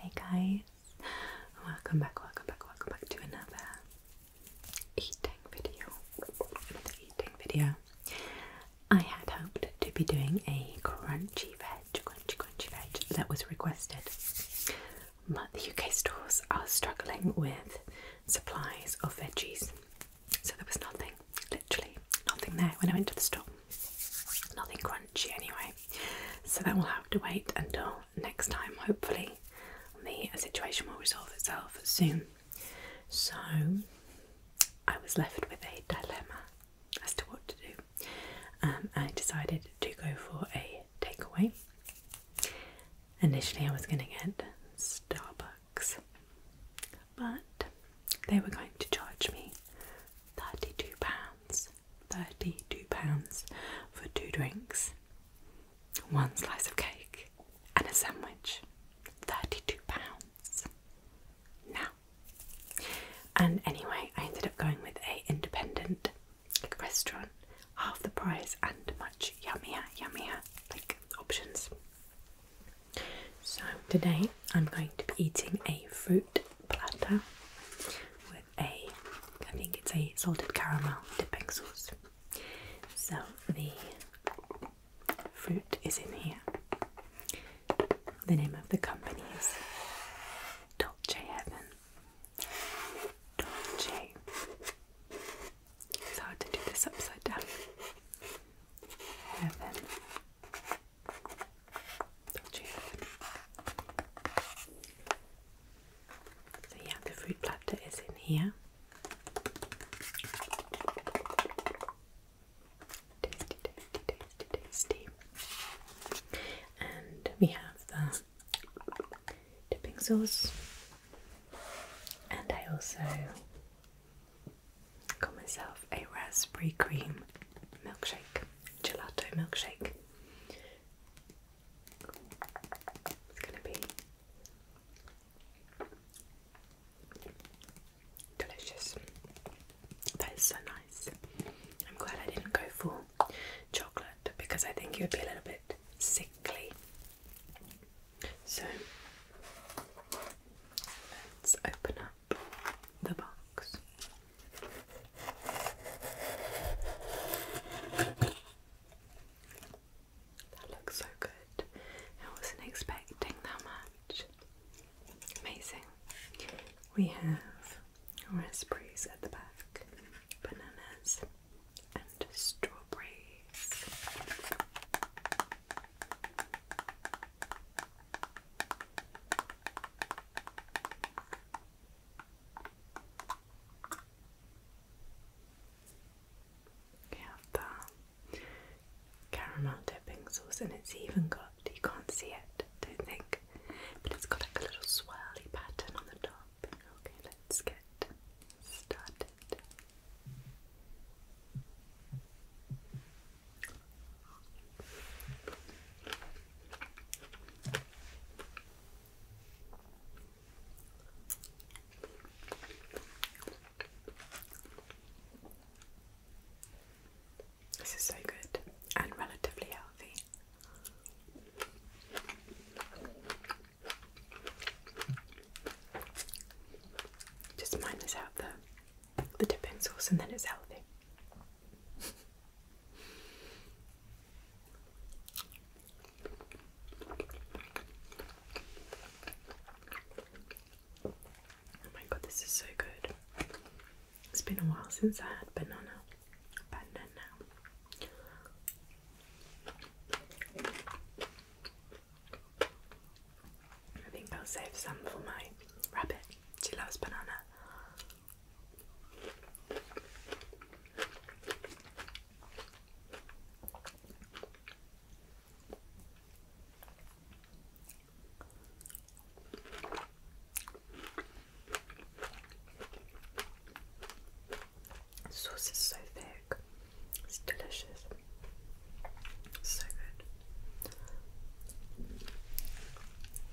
Hi guys, welcome back, welcome back, welcome back to another eating video. Another eating video. I had hoped to be doing a crunchy veg, crunchy, crunchy veg that was requested, but the UK stores are struggling with supplies of veggies, so there was nothing, literally nothing there when I went to the store nothing crunchy anyway. So that will have to wait until next time. Hopefully, the situation will resolve itself soon. So I was left with a dilemma as to what to do. Um, I decided to go for a takeaway. Initially, I was going to get Starbucks, but they were going to charge me thirty-two pounds. Thirty-two pounds for two drinks, one slice of cake, and a sandwich. Thirty-two pounds. Now, and anyway, I ended up going with a independent restaurant, half the price and much yummier, yummier like options. So today I'm going to be eating a fruit platter with with a, I think it's a salted caramel dipping sauce. So the fruit is in here. The name of the company is Dolce Heaven. Dolce. It's to do this upside down. Heaven. So yeah, the fruit platter is in here. Tasty, tasty, tasty, tasty. And we have the dipping sauce. And I also got myself a raspberry cream milkshake, gelato milkshake. It's gonna be delicious. That is so nice. I'm glad I didn't go for chocolate because I think it would be a little bit sickly. So let's open up the box. That looks so good. I wasn't expecting that much. Amazing. We have raspberries at the back, bananas, and strawberries. You have the caramel dipping sauce, and it's even got, you can't see it, don't think, but it's got like a little swirly pattern on the top. Okay, let's get started. This is so good and relatively healthy. Just minus out the the dipping sauce and then it's healthy oh my god, this is so good. It's been a while since I had banana. Banana. I think I'll save some for my rabbit. She loves banana. The sauce is so thick, it's delicious, so good.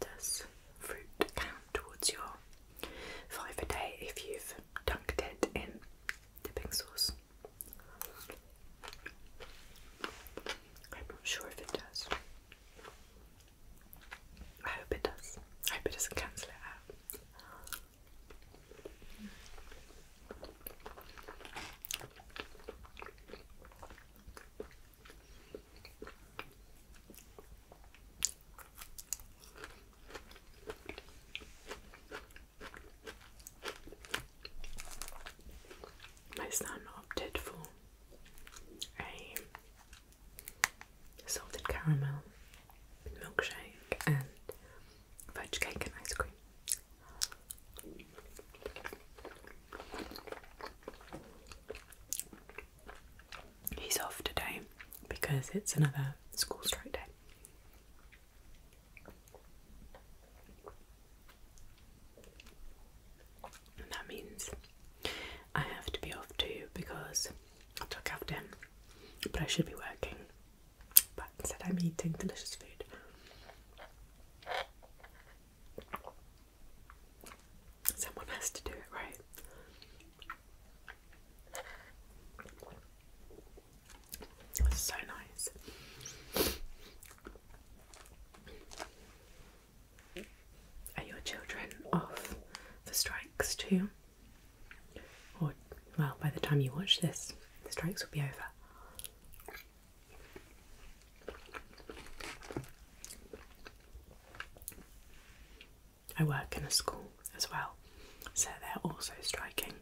Does fruit count towards your five a day if you've dunked it in dipping sauce? I'm not sure if it does. I hope it does. I hope it doesn't cancel it out. My son opted for a salted caramel, milkshake, and fudge cake and ice cream. He's off today because it's another school strike day. And that means I have to be off too because I took after him, but I should be working. But instead, I'm eating delicious food. Someone has to do it, right? so nice. Are your children off the strikes too? Or, well, by the time you watch this, the strikes will be over. I work in a school as well, so they're also striking.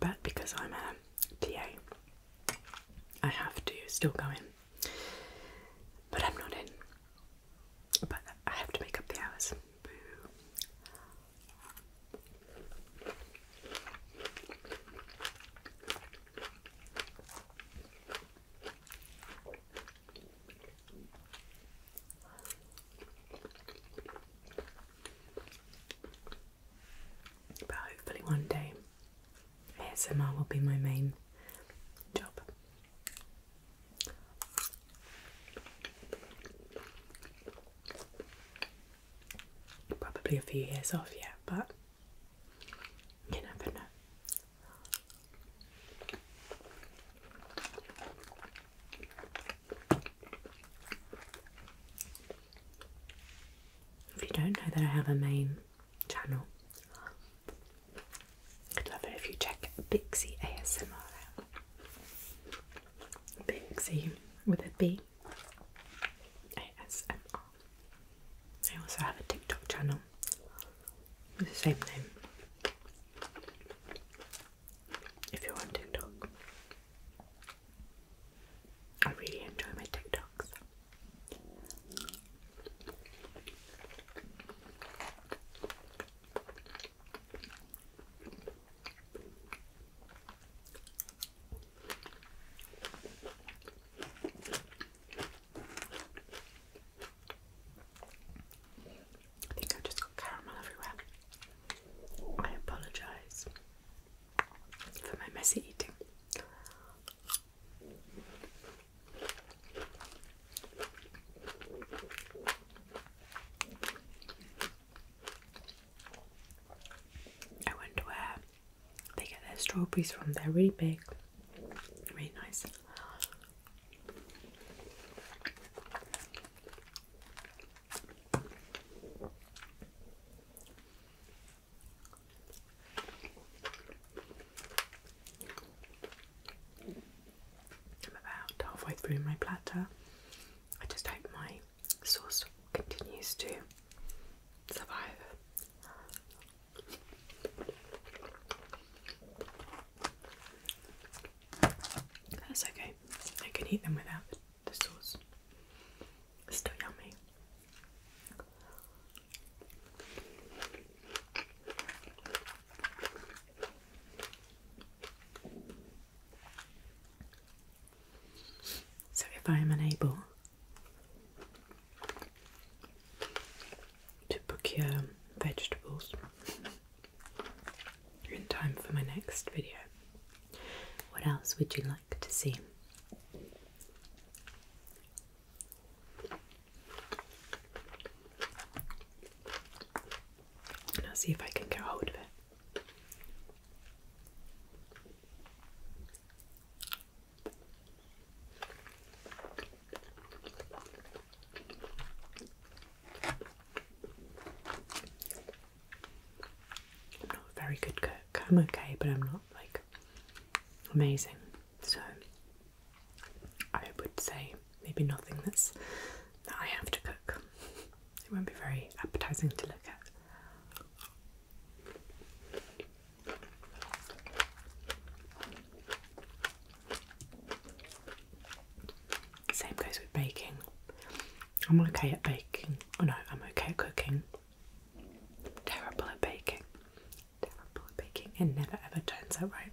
But because I'm a TA, I have to still go in. But I'm not in. But I have to make up the hours. But hopefully, one day ASMR will be my main job. Probably a few years off yet, but you never know. If you don't know that I have a main channel, I'd love it if you check Bixie ASMR out. with a B ASMR. I also have a TikTok channel with the same name. If you're on TikTok, I really enjoy my TikToks. I think I've just got caramel everywhere. I apologise for my messy eating. I wonder where they get their strawberries from. They're really big, really nice. I'm about halfway through my platter. I just hope my sauce continues to survive. That's okay. I can eat them without the sauce. still yummy. So, if I am unable to procure vegetables in time for my next video, what else would you like to see? and I'll see if I can get a hold of it. I'm not very good cook. I'm okay, but I'm not like amazing. So I would say maybe nothing that's that I have to cook. It won't be very appetizing to look at. Same goes with baking. I'm okay at baking. Oh no, I'm okay at cooking. terrible at baking. Terrible at baking. It never ever turns out right.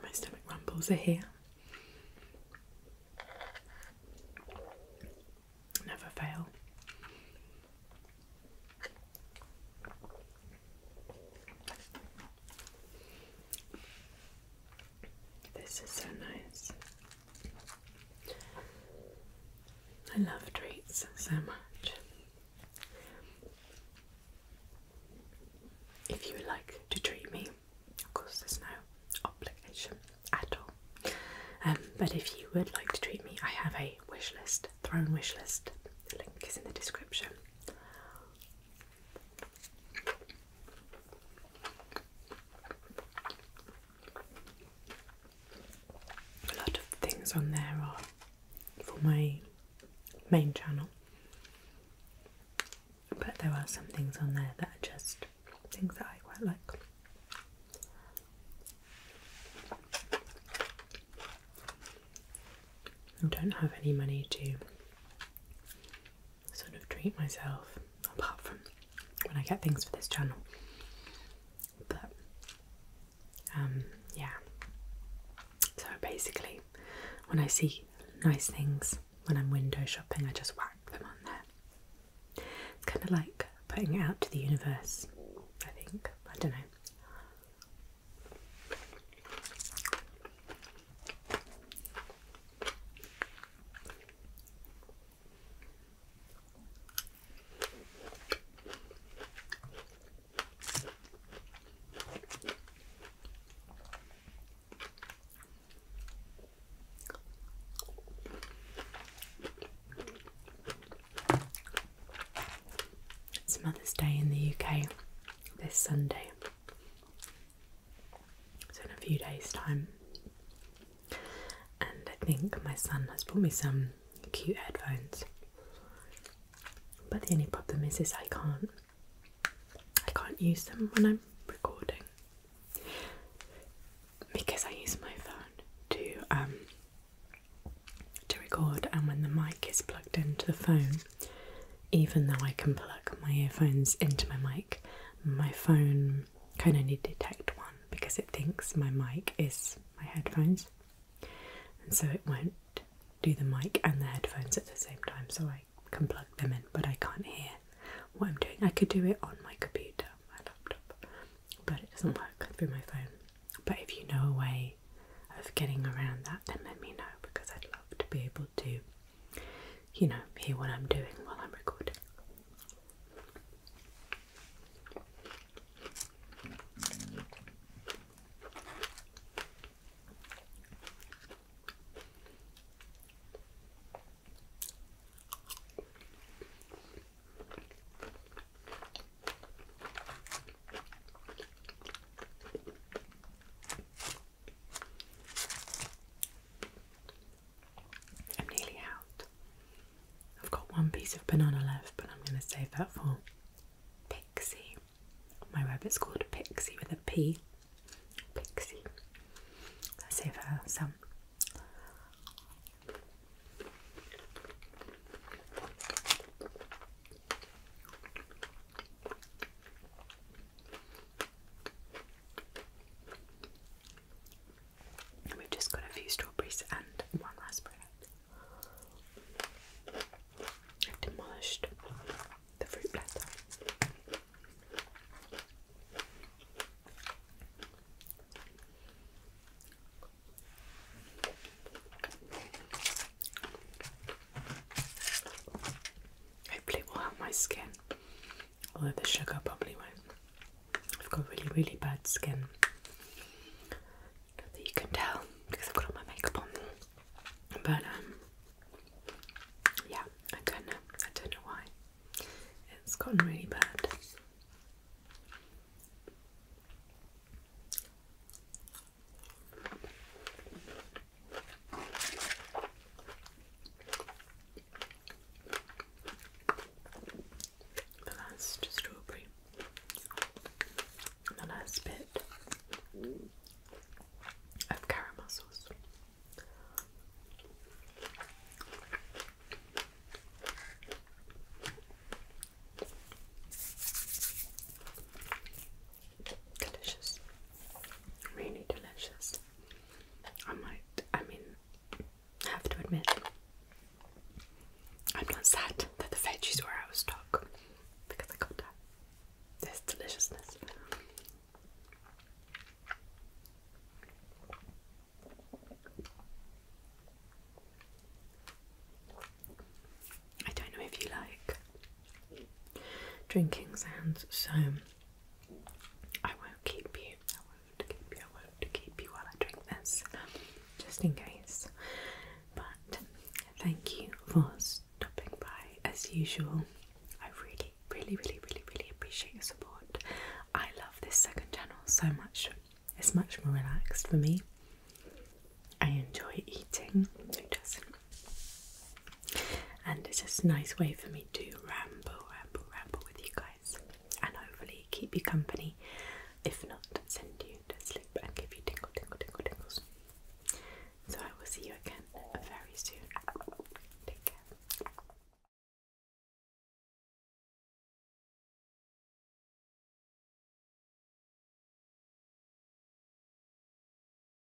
My stomach rumbles are here. Never fail. This is so nice. I love treats so much. If you would like to treat me, of course, there's no obligation at all. Um, but if you would like to treat me, I have a wish list, throne wish list. The link is in the description. A lot of things on there are for my main channel, but there are some things on there that are just things that I quite like. I don't have any money to sort of treat myself apart from when I get things for this channel. But um, yeah. So basically when I see nice things when I'm window shopping I just whack them on there. It's kinda like putting it out to the universe, I think. I don't know. It's Mother's Day in the UK this Sunday. So, in a few days' time. And I think my son has bought me some cute headphones. But the only problem is, is I can't, I can't use them when I'm recording because I use my phone to um to record, and when the mic is plugged into the phone, even though I can plug my earphones into my mic, my phone kind of can to detect one because it thinks my mic is my headphones, and so it won't do the mic and the headphones at the same time. So I can plug them in, but I can't hear what I'm doing. I could do it on my computer, my laptop, but it doesn't work through my phone. But if you know a way of getting around that, then let me know because I'd love to be able to, you know, hear what I'm doing while I'm recording. I'm nearly out. I've got one piece of banana left, but I'm going to save that for Pixie. My rabbit's called Pixie with a P. Pixie. Let's save her some we've just got a few strawberries and one raspberry. I've demolished the fruit platter. Hopefully, it will help my skin. Although the sugar probably won't. I've got really, really bad skin. you can tell because I've got all my makeup on. But um, yeah, I don't know. I don't know why. It's gotten really bad. The last strawberry, the last bit of caramel sauce. Delicious. Really delicious. I might, I mean, have to admit, I'm not sad that the veggies were out of stock because I got that. This deliciousness. I don't know if you like drinking sounds, so I won't keep you, I won't keep you, I won't keep you while I drink this, just in case. But thank you for stopping by as usual. I really, really, really, really, really appreciate your support. I love this second channel so much, it's much more relaxed for me. I enjoy eating, who doesn't? And it's just a nice way for me to ramble, ramble, ramble with you guys and hopefully keep you company. If not, send you to sleep and give you tingle, tingle, tingle, tingles. So I will see you again very soon. Take care.